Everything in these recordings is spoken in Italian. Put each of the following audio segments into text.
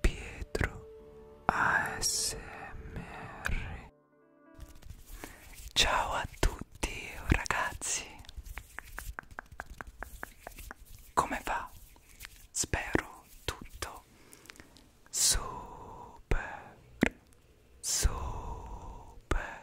Pietro ASMR Ciao a tutti ragazzi Come va? Spero tutto super super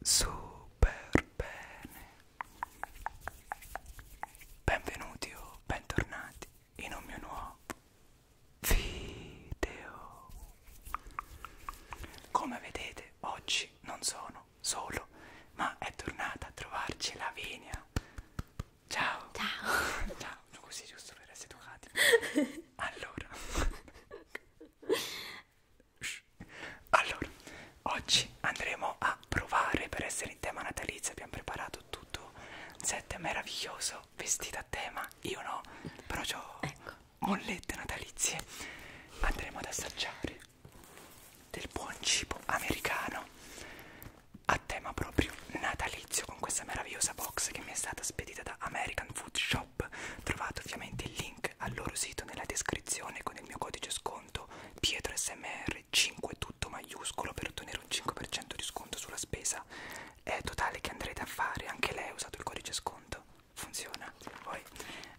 super bene Benvenuti o bentornati in un mio nuovo video. Come vedete, oggi non sono solo, ma è tornata a trovarci Lavinia. Ciao. Ciao. Ciao. Così giusto per essere educati. Allora. Allora, Oggi andremo a provare per essere in tema natalizio. Abbiamo preparato tutto un set meraviglioso, vestito a tema. Io no, però ho ecco. mollette natalizie. Andremo ad assaggiare del buon cibo americano a tema proprio natalizio con questa meravigliosa box che mi è stata spedita da American Food Shop. Trovate ovviamente il link al loro sito nella descrizione con il mio codice sconto PietroSMR 5 tutto maiuscolo per ottenere un 5% di sconto sulla spesa eh, totale che andrete a fare. Anche lei ha usato il codice sconto. Funziona. Poi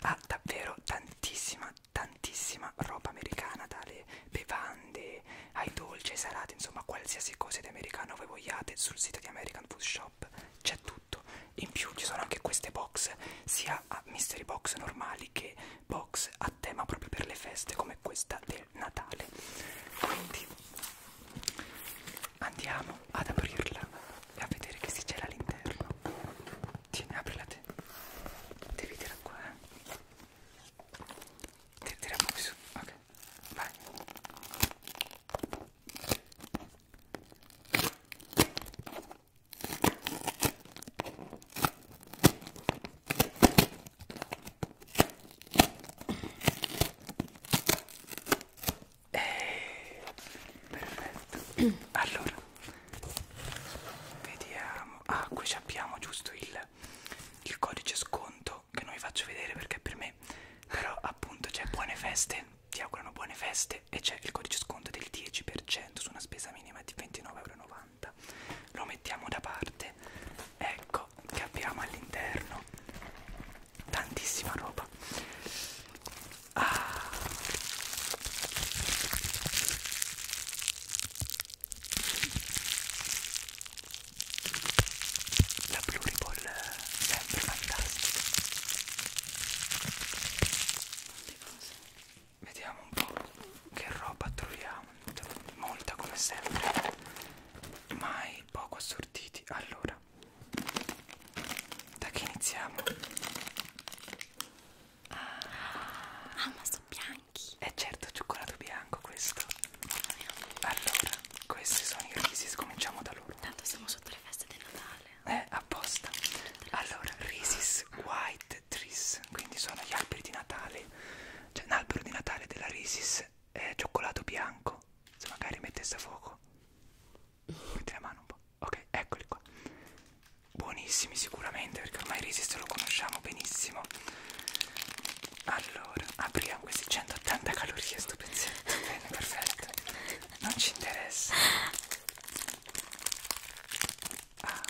ha ah, davvero tantissima, tantissima roba americana, dalle bevande ai dolci, ai salati, insomma qualsiasi cosa di americano voi vogliate sul sito di American Food Shop c'è tutto. In più ci sono anche queste box, sia a mystery box normali che box a tema proprio per le feste come questa del Natale. Quindi andiamo ad aprirla e a vedere che si c'era all'interno. Tieni, aprila te. Devi tirare qua, eh. Ti tira proprio su. Ok, vai. Eh, perfetto. Allora, vediamo. Ah, qui abbiamo giusto il, il codice sconto che non vi faccio vedere perché per me, però appunto c'è buone feste. Ti augurano buone feste e c'è il codice sconto del 10% su una spesa minima di 29,90 euro. 80 lo mettiamo da parte ecco che abbiamo all'interno tantissima roba ah. la pluriball eh, sempre fantastica Vediamo un po' che roba troviamo. Molta come sempre. Mai poco assortiti. Allora, da che iniziamo? Ah, ah ma sono bianchi. È eh certo, cioccolato bianco questo. Allora, questi sono i Reese's, cominciamo da loro. Tanto siamo sotto le feste di Natale. Eh, apposta. Allora, Reese's White Red Trees, quindi sono gli alberi di Natale. C'è cioè, un albero di Natale della Risis, eh, cioccolato bianco. Se magari mettesse a fuoco, metti la mano un po'. Ok, eccoli qua. Buonissimi sicuramente, perché ormai Risis lo conosciamo benissimo. Allora, apriamo questi 180 calorie, sto pezzetto. Bene, perfetto. Non ci interessa. Ah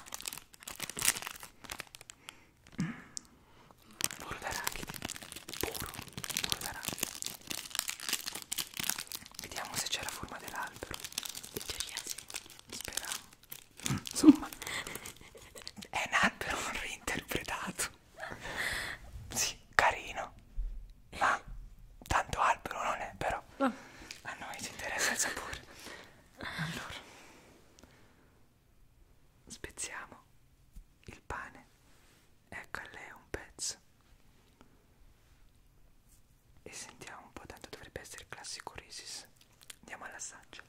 burro d'arachidi puro burro d'arachidi vediamo se c'è la forma dell'albero in teoria sì speriamo insomma è un albero reinterpretato sì carino ma tanto albero non è però a noi ci interessa il sapore allora spezziamo il pane ecco a lei un pezzo e sentiamo un po' tanto dovrebbe essere il classico risis andiamo all'assaggio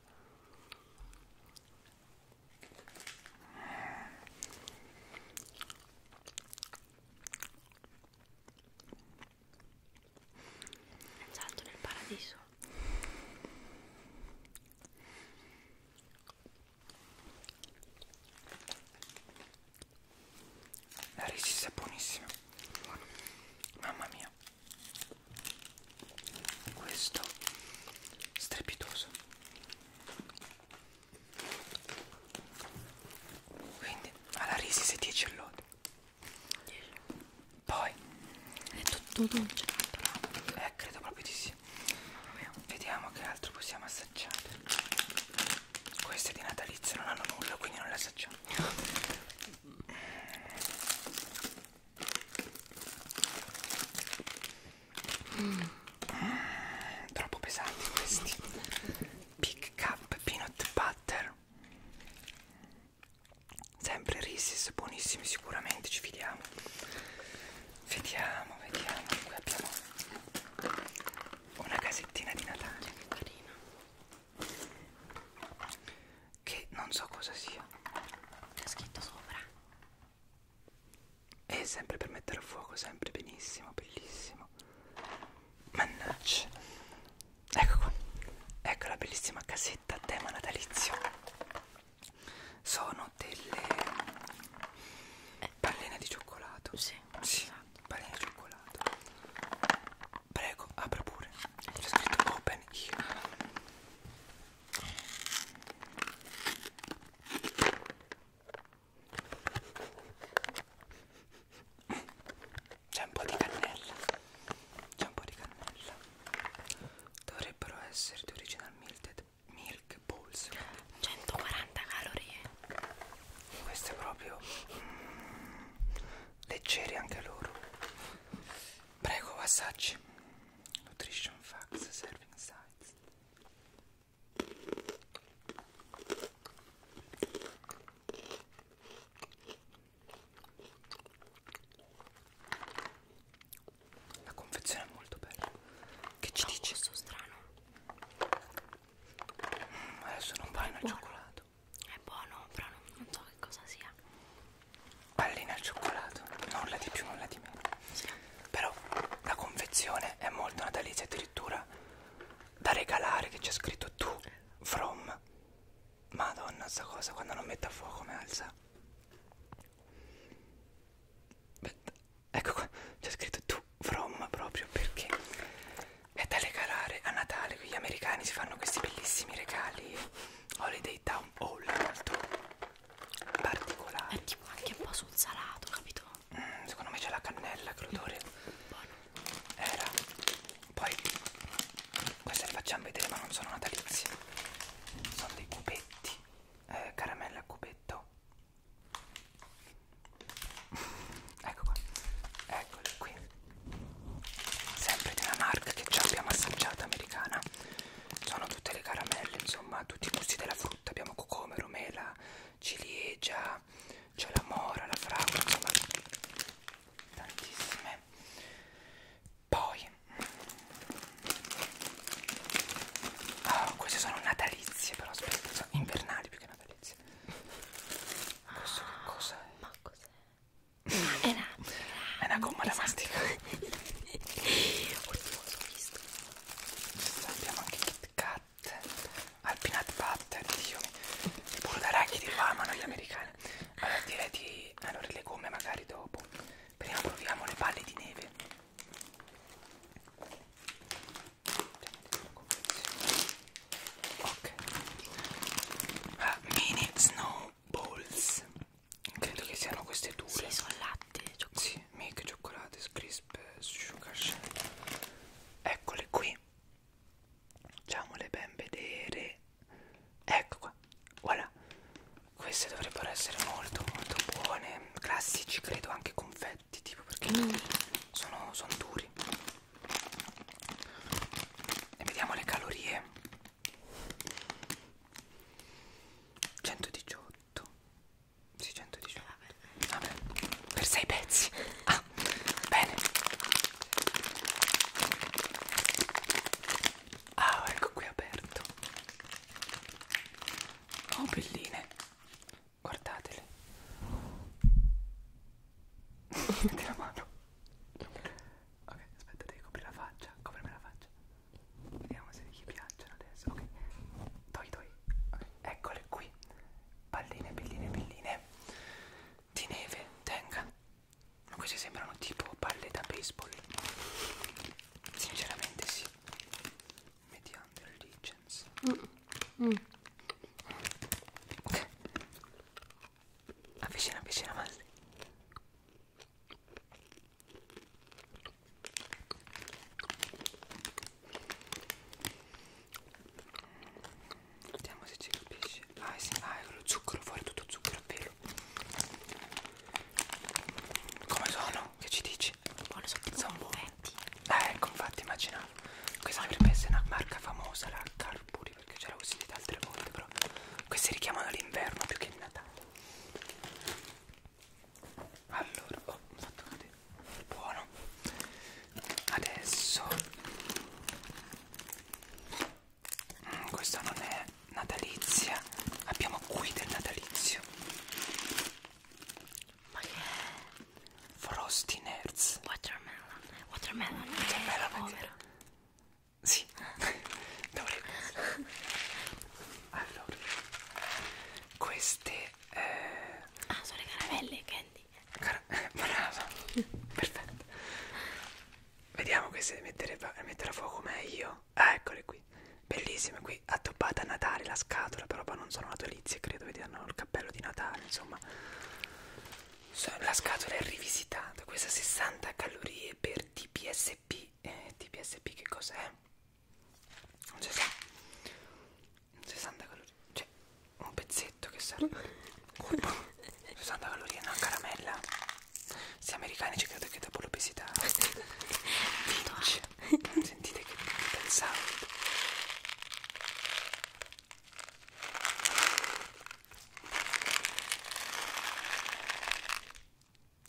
è salto nel paradiso la resista è buonissima Buono. mamma mia questo strepitoso quindi alla risi 10 all'odio poi è tutto dolce, eh, credo proprio di sì. Vediamo che altro possiamo assaggiare. Queste di natalizio non hanno nulla, quindi non le assaggiamo. Mm. Mm, troppo pesanti questi. Big Cup Peanut Butter sempre Risis, buonissimi sicuramente, ci fidiamo. Vediamo, vediamo, qui abbiamo una casettina di Natale carina che non so cosa sia. C'è scritto sopra. E sempre per mettere a fuoco, sempre benissimo, bellissimo. Mannaggia ecco qua ecco la bellissima casetta a tema natalizio sono delle palline di cioccolato sì, sì esatto. palline di cioccolato prego apra pure c'è scritto open here c'è un po' di cannella. C'è un po' di cannella. Dovrebbero essere di original milk, milk balls. 140 calorie. Queste proprio mm, leggeri anche loro. Prego, assaggi. Nutrition facts serving size. La confezione è molto bella. Che ci dici? Questo strano. Mm, adesso non vai al cioccolato. È buono, però non, non so che cosa sia. Pallina al cioccolato, nulla di più, nulla di meno. Sì. Però la confezione è molto natalizia, addirittura da regalare che c'è scritto tu from Madonna sta cosa quando non mette a fuoco mi alza Aspetta. Ecco qua c'è scritto tu from proprio perché è da regalare a Natale Gli americani si fanno questi bellissimi regali Holiday Town Hall molto particolari È tipo anche un po' sul salato capito? Mm, secondo me c'è la cannella che l'odore mm. Buono era poi queste le facciamo vedere ma non sono natalizie sono dei cubetti eh, caramella a cubetto ecco qua eccoli qui sempre di una marca che già abbiamo assaggiata americana sono tutte le caramelle insomma tutti i gusti della frutta abbiamo cocomero mela ciliegia c'è la mora la fragola insomma tantissime poi oh, queste sono natalizie però aspetta sono invernali più che natalizie ah, questo che ah, cos'è? ma cos'è? è una, è una gomma esatto. da masticare esatto. oddio l'ho visto abbiamo anche Kit Kat al peanut butter Dio mi pure da raghi di qua ma noi gli americani bene allora direi di allora le gomme magari dopo prima proviamo le palle di neve ok ah, mini snowballs credo che siano queste due sì, sono latte cioccolato. sì, make cioccolate crisp sugar shake eccole qui facciamole ben vedere ecco qua voilà queste dovrebbero essere molto molto buone classici credo anche confetti tipo perché mm. sono, sono duri e vediamo le calorie 118 sì 118 Vabbè. Vabbè. per 6 pezzi Ah, bene. Ah, ecco qui aperto. Oh, belline. Guardatele. Metti la mano. Ok, aspetta, devi coprire la faccia. Coprimi la faccia. Vediamo se gli piacciono adesso. Ok. Togli, togli. Okay. Eccole qui. Palline, belline, belline. Di neve, tenga. Ma queste sembrano tipo palle da baseball. Sinceramente sì. Mediano Legends. Mm. Mm. Avvicina, avvicina, ma... Vediamo se ci capisce. Ah, sì, ah, lo zucchero, fuori tutto zucchero, vero? Come sono? Che ci dici? Buono, sono buffetti. Eh, ecco, infatti, immaginavo. Questa dovrebbe essere una marca famosa, la Carpuri, perché ce l'avevo sentita altre volte, però questi richiamano l'inverno più che il Natale. Allora, oh, ho fatto cadere. Buono. Adesso mm, questa non è natalizia abbiamo qui del natalizio ma che è? Frosty Nerds Watermelon Watermelon eh, Watermelon è sì dovrei allora queste eh... ah sono le caramelle che quindi Cara, eh, brava perfetto vediamo che se mettere, mettere a fuoco meglio ah, eccole qui bellissime qui addobbata a Natale la scatola però non sono natalizie credo vediamo il cappello di Natale insomma la scatola è rivisitata questa 60 calorie per TPSP eh, TPSP che cos'è? 60 calorie cioè un pezzetto che serve colpo 60 calorie una caramella se americani ci credo che dopo l'obesità vince sentite che pensavo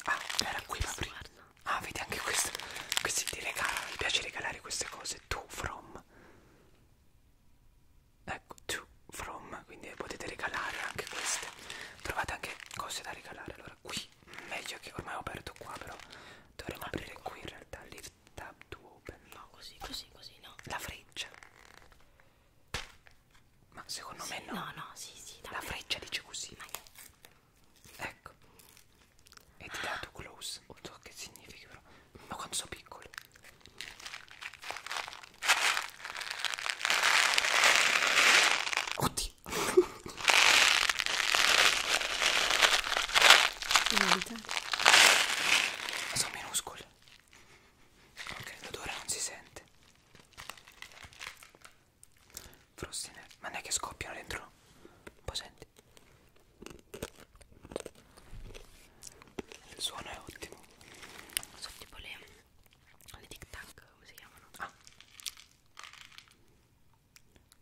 ah era qui Fabri ah vedi anche questo questi ti regalano mi piace regalare queste cose tu from ecco to from quindi potete regalare anche queste trovate anche cose da regalare allora qui meglio che ormai ho aperto qua però dovremmo ah, aprire qua. Ecco. qui in realtà leave tab to open no così così così no la freccia ma secondo sì, me no no no sì sì la me. freccia dice così ma io. ecco e ti ah. dato close non so che significa però ma quanto sono piccolo oddio sono minuscole ok l'odore non si sente frustine ma non è che scoppiano dentro un po' senti il suono è ottimo sono tipo le, le tic tac come si chiamano ah.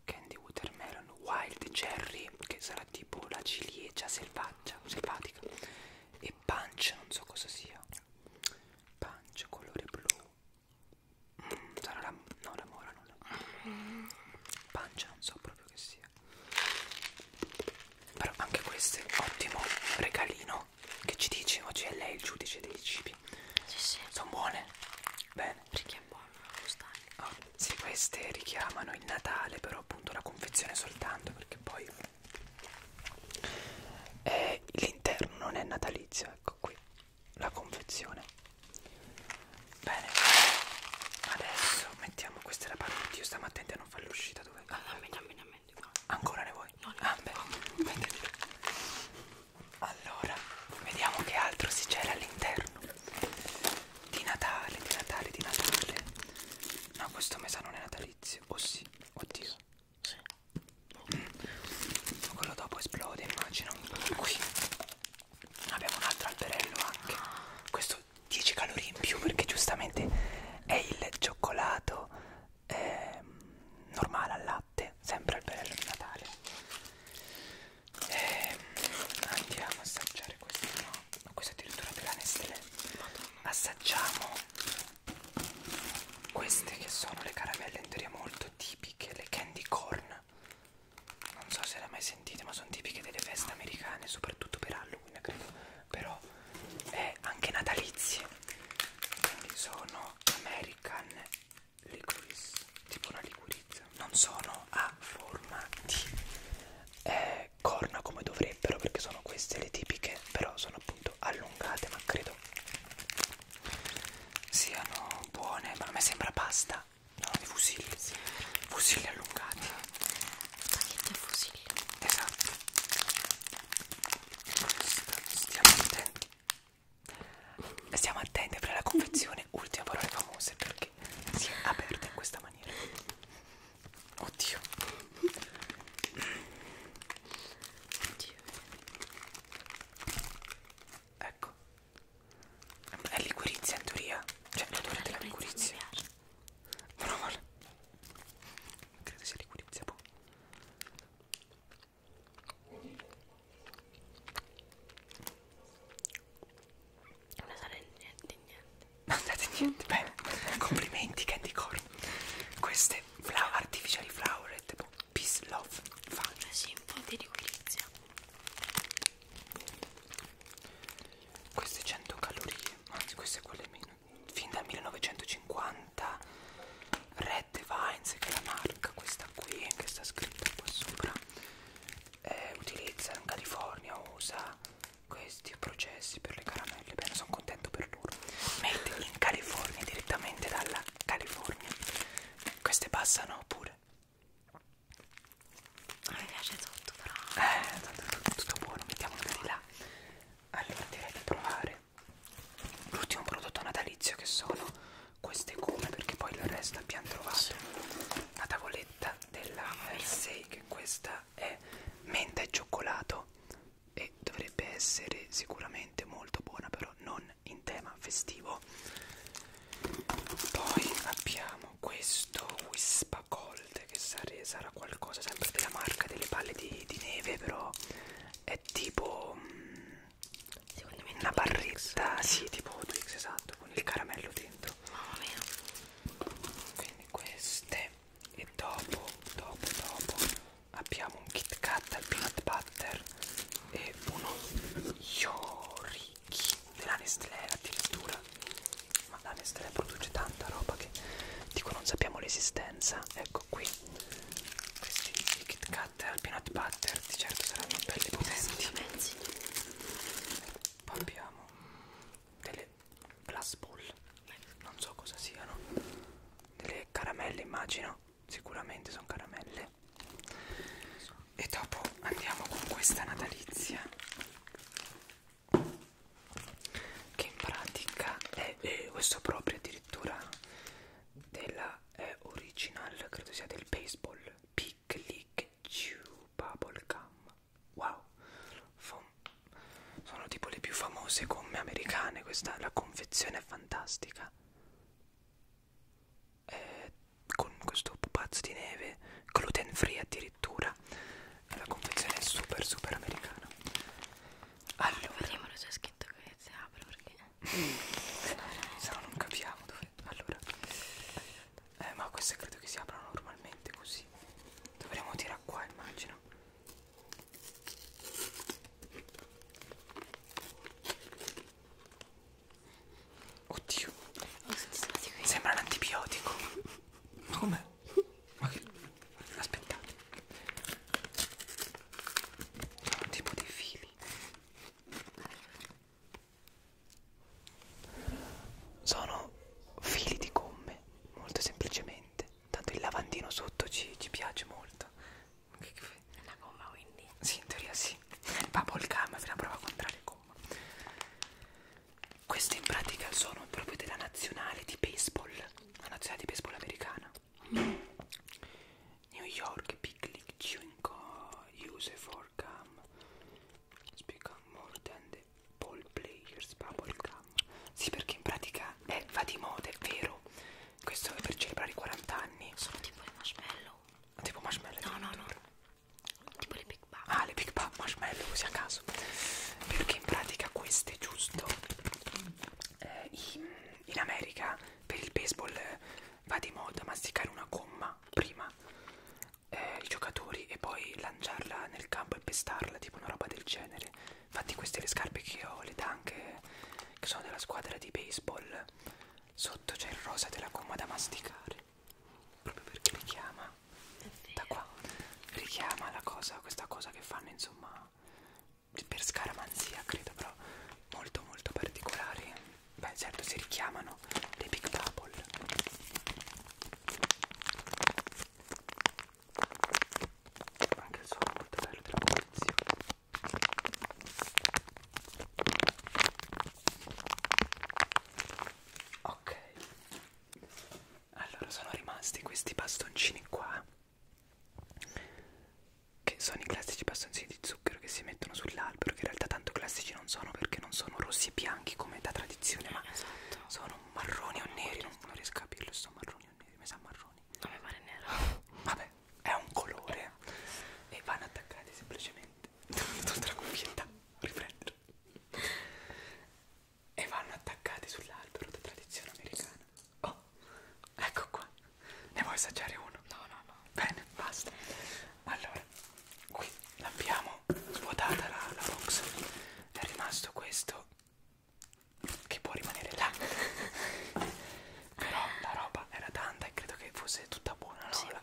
candy watermelon wild cherry che sarà tipo la ciliegia selvaggia selvatica e punch non so cosa sia punch colore blu Mm, sarà la, no, la mora, non la mm. punch, non so proprio che sia però anche questo è un ottimo regalino che ci dice oggi è lei il giudice dei cibi sì, sì. sono buone bene richiamano oh, ah, sì queste richiamano il Natale però appunto la confezione soltanto perché poi eh, l'interno non è natalizio ecco qui la confezione bene adesso mettiamo questa è la parte io stiamo attenti a non non fai l'uscita dove? Ah, dammi, dammi, dammi. Ancora ne vuoi? No, ah, beh. Allora, vediamo che altro si c'era all'interno. Di Natale, di Natale, di Natale. No, questo mesa non è natalizio. Oh sì, oddio. Sì. Mm. Quello dopo esplode, immagino. Qui abbiamo un altro alberello anche. Questo 10 calorie in più perché giustamente è il cioccolato eh, normale al latte, sempre al bello di Natale. Eh, andiamo a assaggiare questo, no? Questo addirittura della Nestlé. Assaggiamo queste che sono le caramelle in teoria molto tipiche, le candy corn. Non so se le hai mai sentite, ma sono tipiche delle feste americane, soprattutto per Halloween femmina credo però è anche natalizie quindi sono American liquorice tipo una liquirizia non sono a forma di eh, corna come dovrebbero perché sono queste le tipiche però sono appunto allungate ma credo siano buone ma a me sembra pasta sono di fusilli fusilli allungati spaghetti a fusillo esatto stiamo attenti stiamo attenti per la confezione ultime parole famose perché si è aperta in questa maniera oddio oddio ecco è liquirizia in teoria cioè l'odore della liquirizia mi piace però vale. Credo si liquidizzi un boh. po'. Non sarà niente niente. Non date niente. Bene, complimenti Candy Corn. Queste fla artificiali flower tipo boh, peace love. Fan. Sì, un po' di liquidizia queste 100 calorie anzi queste quelle meno fin dal 1950 Red Vines che è la marca questa qui che sta scritta qua sopra eh, utilizza in California usa questi processi per le caramelle bene sono contento per loro made in California direttamente dalla California queste passano pure non mi piace tutto però eh, tanto è tutto buono, mettiamolo di là allora direi di provare l'ultimo prodotto natalizio che sono queste gomme perché poi il resto abbiamo trovato la tavoletta della Versailles che questa è menta e cioccolato e dovrebbe essere sicuramente molto buona però non in tema festivo poi abbiamo questo whisper Cold che sarà qualcosa sempre della marca delle palle di, di neve però è tipo mm, secondo me una barretta sì tipo Twix esatto con il caramello dentro mamma mia quindi queste e dopo dopo dopo abbiamo un Kit Kat al peanut butter e uno Yoriki della Nestlé addirittura ma la Nestlé produce tanta roba che dico non sappiamo l'esistenza ecco qui questi i Kit Kat al peanut butter di certo saranno belli potenti poi abbiamo delle glass ball non so cosa siano delle caramelle immagino sicuramente sono caramelle e dopo andiamo con questa natalizia che in pratica è, è questo proprio addirittura della eh, original credo sia del baseball Pick League Chew Bubble Gum wow Fom sono tipo le più famose gomme americane questa la confezione è fantastica eh, con questo pupazzo di neve gluten free addirittura la confezione è super super americana allora vediamolo c'è scritto che si apre perché se no non capiamo dove allora eh, ma queste credo che si aprano normalmente così dovremmo tirare qua immagino oddio oh, sembra un antibiotico come aspettate tipo dei fili sono fili di gomme molto semplicemente tanto il lavandino sotto ci, ci piace molto una gomma quindi? sì in teoria sì va cam, è una prova contraria gomma queste in pratica sono proprio della nazionale di baseball, la nazionale di baseball americana. New York Picnic Cinco use for gum speak more than the ball players bubble gum. Sì, perché in pratica eh, va di moda, è vero. Questo è per celebrare i 40 anni. Sono tipo i marshmallow. Tipo marshmallow. No, no, no tipo le Big Bang ah le Big Bang marshmallow così a caso perché in pratica queste giusto eh, in, in America per il baseball eh, va di moda masticare una gomma prima eh, i giocatori e poi lanciarla nel campo e pestarla tipo una roba del genere infatti queste le scarpe che ho le tanche che sono della squadra di baseball sotto c'è il rosa della gomma da masticare proprio perché richiama da qua richiama la cosa questa cosa che fanno insomma per scaramanzia credo però molto molto particolari beh certo si richiamano dei big bubble anche il suono molto bello della posizione ok allora sono rimasti questi bastoncini qua che sono i classici bastoncini di zucchero che si mettono sull'albero che in realtà tanto classici non sono perché non sono rossi e bianchi come da tradizione ma esatto. sono marroni o neri non, non riesco a capirlo sono marroni o neri mi sa marroni non mi pare nero vabbè è un colore e vanno attaccati semplicemente tutta la cuffietta riprendere e vanno attaccati sull'albero da tradizione americana. Oh, ecco qua. Ne vuoi assaggiare uno? No, no, no. Bene, basta. Allora, qui l'abbiamo svuotata la, la box. È rimasto questo che può rimanere là. Però la roba era tanta e credo che fosse tutta buona, no? Sì. La,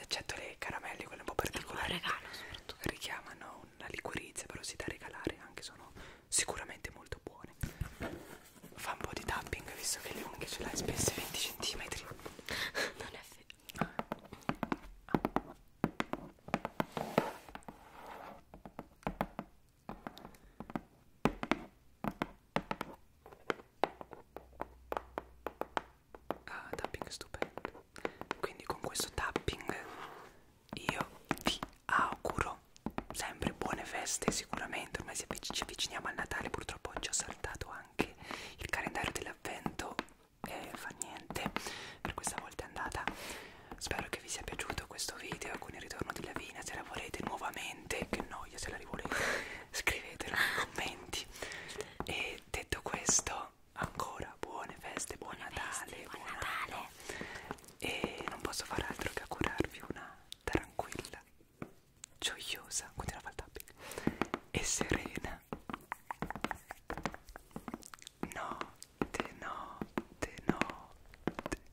eccetto le caramelle, quelle un po' particolari. Il regalo soprattutto. Richiamano una liquirizia però si da regalare anche sono sicuramente molto buone fa un po' di tapping visto che le unghie ce l'hai spesse 20 cm non è vero ah uh, tapping stupendo quindi con questo tapping io vi auguro sempre buone feste sicuramente ormai ci avviciniamo al Natale purtroppo oggi ho saltato anche il calendario dell'avvento e eh, fa niente per questa volta è andata spero che vi sia piaciuto questo video con il ritorno di Lavina se la volete nuovamente che noia se la rivolete scrivetela nei commenti e detto questo ancora buone feste, buon buone Natale, feste, buon Natale. Anno. E non posso fare altro che augurarvi una tranquilla, gioiosa, continua a fare e serena notte, notte, notte.